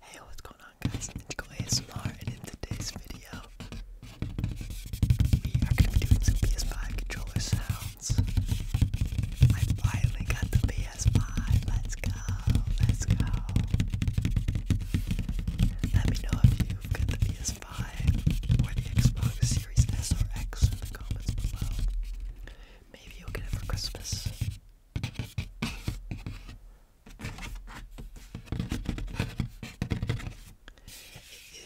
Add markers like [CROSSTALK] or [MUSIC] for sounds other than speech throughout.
Hey, what's going on guys? Ninjago ASMR and in today's video we are going to be doing some PS5 controller sounds. I finally got the PS5. Let's go. Let's go. Let me know if you've got the PS5 or the Xbox Series S or X in the comments below. Maybe you'll get it for Christmas. It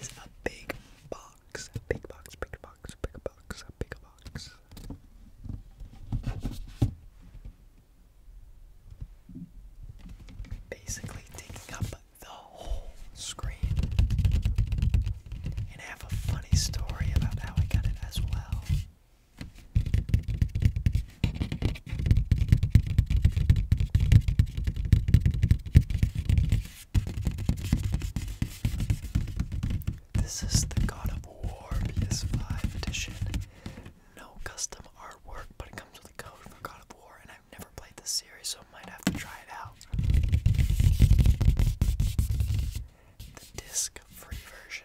is a big box, big box, big box, big box, big box. Basically, taking up the whole screen. And I have a funny story about how I got it as well. This is the God of War PS5 edition. No custom artwork, but it comes with a code for God of War, and I've never played this series, so I might have to try it out. The disc free version.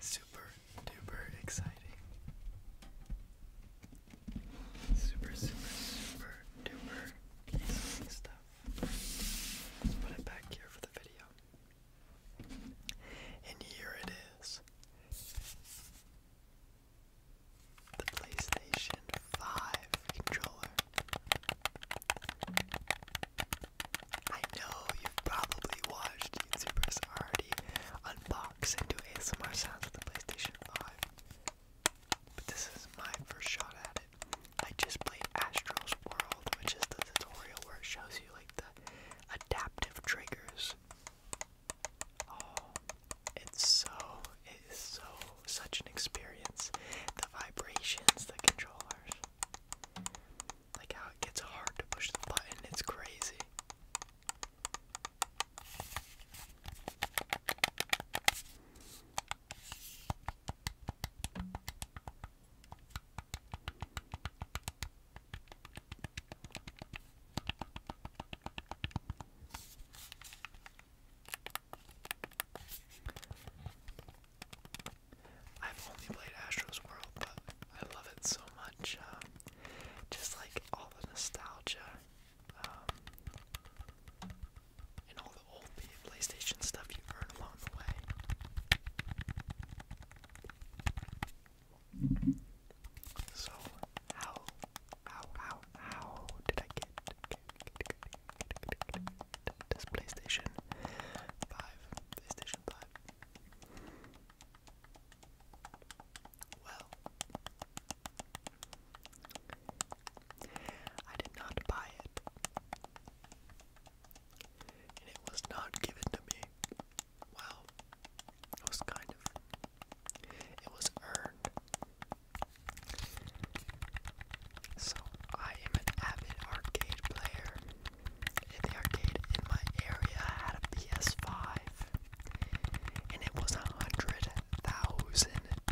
Super duper exciting. Super, super, super duper exciting stuff. Let's put it back here for the video. And here it is the PlayStation 5 controller. I know you've probably watched YouTubers already unbox and do ASMR sounds with the PlayStation 5, but this is my first shot at it. I just played Astro's World, which is the tutorial where it shows you like the adaptive triggers. Oh, it's so, it is so such an experience. The vibrations, the controllers. Like how it gets hard to push the button, it's crazy. I've only played Astro's World, but I love it so much. Um, just like all the nostalgia um, and all the old PlayStation stuff you earn along the way. So how how how how did I get this PlayStation 5. PlayStation 5. Well, I did not buy it, and it was not given to me. Well, it was kind of. It was earned so, I am an avid arcade player. In the arcade in my area had a PS5, and it was a 100,000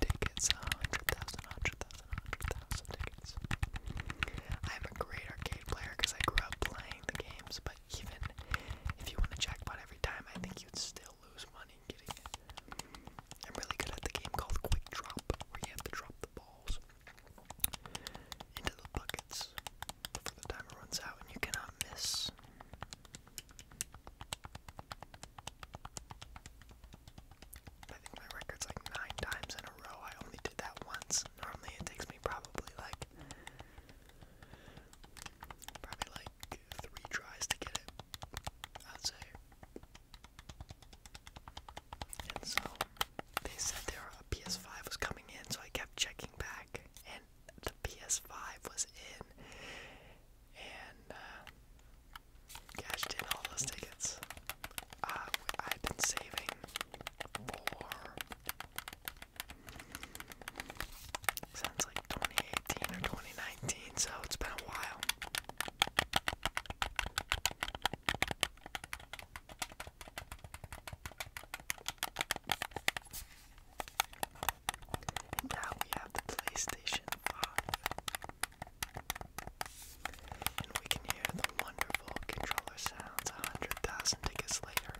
tickets. A 100,000, 100,000, 100,000 tickets. I'm a great arcade player because I grew up playing the games, but even if you want to check, jackpot every time, I think you'd still lose money getting it. I'm really good at the game called Quick Drop, where you have to drop the balls into the buckets before the timer runs out and you cannot miss. I think my record's like nine times in a row. I only did that once. Normally it takes me probably like probably like three tries to get it. I'd say. And so they said there a PS5 was coming in, so I kept checking back, and the PS5 was in, and uh, cashed in all those tickets. Uh, I've been saving for since like 2018 or 2019, so it's been a while now we have the PlayStation 5. And we can hear the wonderful controller sounds 100,000 tickets later.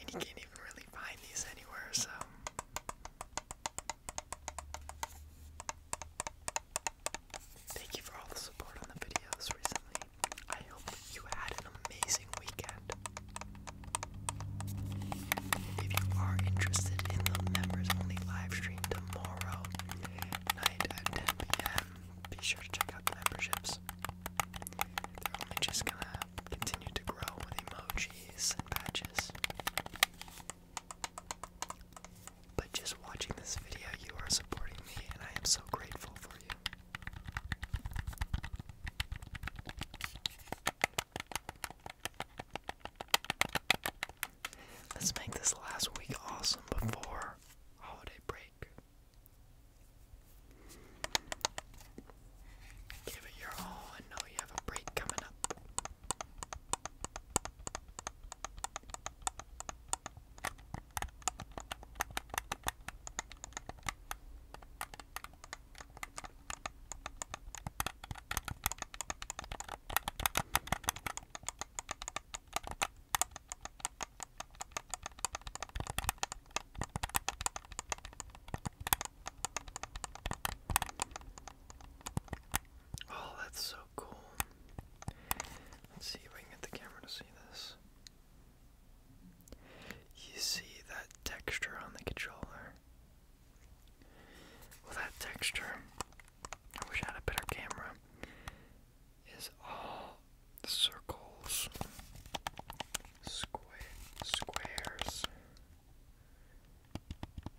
And you can't even really find these anywhere, so Thank you for all the support on the videos recently. I hope you had an amazing weekend. If you are interested in the members only live stream tomorrow night at 10 p.m., be sure to check out the memberships. They're just gonna continue to grow with emojis and patches. But just watching this video, you are supporting me, and I am so grateful for you. Let's make this last week awesome before holiday break. Give it your all and know you have a break coming up. Oh, that's so cool. Let's see if I can get the camera to see this. You see that texture on the controller? Well, that texture, I wish I had a better camera, is all circles, square, squares,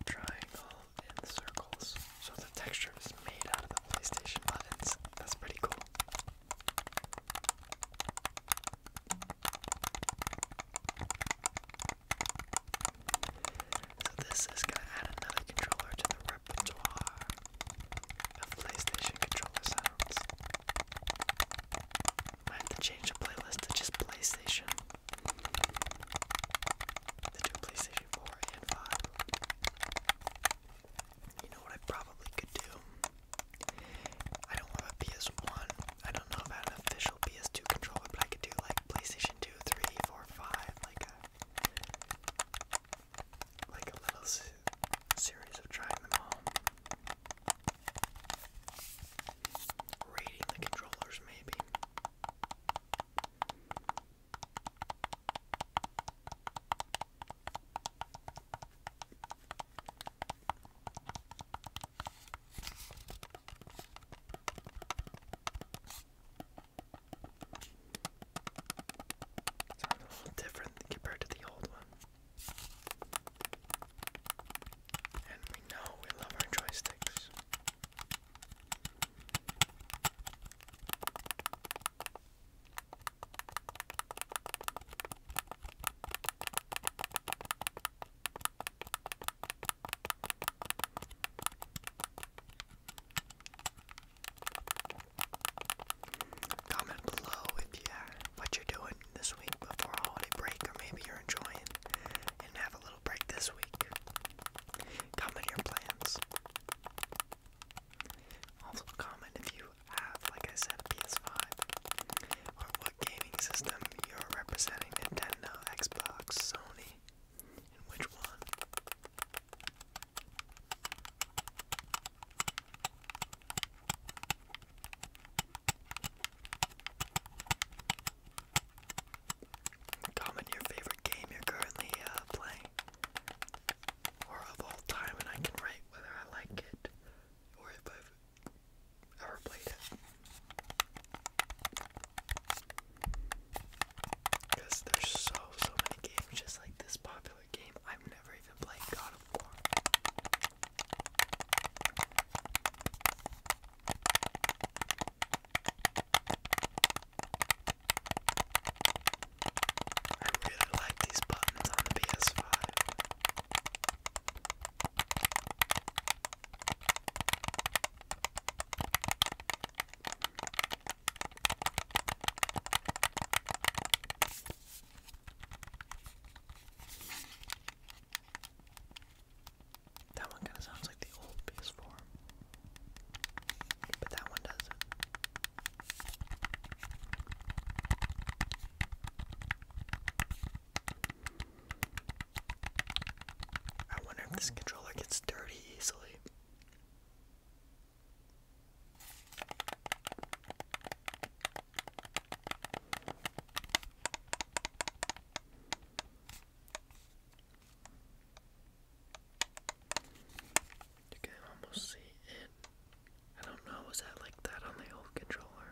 triangle, and circles. So the texture is made out of the PlayStation buttons. That's pretty cool. So this is gonna add another controller to the repertoire of PlayStation controller sounds. I have to change the playlist to just PlayStation. The two PlayStation 4 and 5. You know what I probably could do? I don't have a PS1. I don't know about an official PS2 controller, but I could do like PlayStation 2, 3, 4, 5, like a like a little series of trying them all. Rating the controllers maybe. Sounds a little different compared to the old one. And we know we love our joysticks. Comment below if you what you're doing this week before holiday break, or maybe you're enjoying and have a little break this week. Comment your plans. Also comment if you have, like I said, PS5 or what gaming system you're representing, Nintendo, Xbox, Sony, and which one. Comment your favorite game you're currently uh, playing, or of all time, and I can write whether I like it or if I've ever played it. Because there's so, so many games just like this popular game. I've never even played God of War. I really like these buttons on the PS5. That one kind of sounds like the old PS4. I wonder if this oh. controller gets dirty easily. You can almost see it. I don't know, was that like that on the old controller?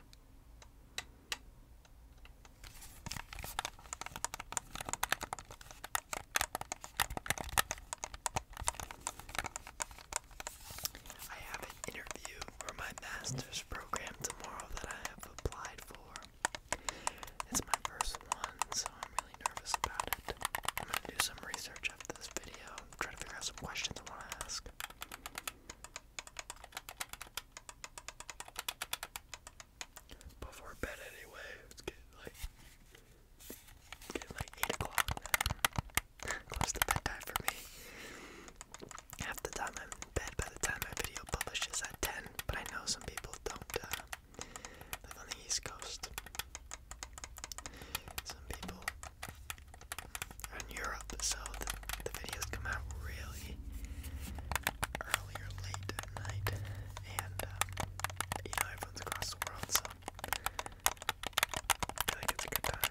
I have an interview for my master's program tomorrow that I have applied for. It's my first one, so I'm really nervous about it. I'm gonna do some research after this video, try to figure out some questions I want to ask. Before bed, anyway, it's getting like, getting like 8 o'clock [LAUGHS] Close to bedtime for me. Half the time I'm in bed by the time my video publishes at 10, but I know some people don't uh, on the East Coast. Some people in Europe, so the, the videos come out really early or late at night, and uh, you know everyone's across the world, so I think it's a good time.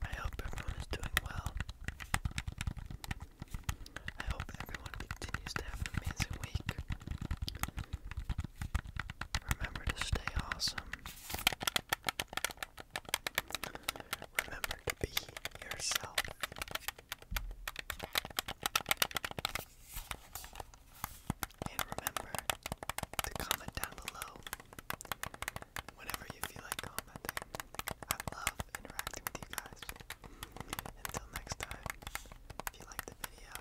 I hope everyone is doing well. I hope everyone continues to have an amazing week. Remember to stay awesome. Remember to be yourself. And remember to comment down below whenever you feel like commenting. I love interacting with you guys. Until next time, if you liked the video,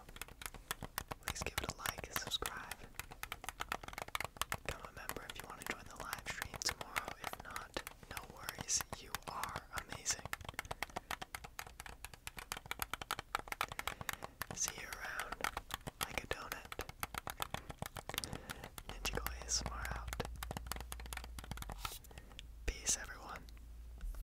Please give it a like subscribe. Become a member if you want to join the live stream tomorrow. If not, no worries. You are amazing. See you around like a donut. Ninjago ASMR out. Peace, everyone.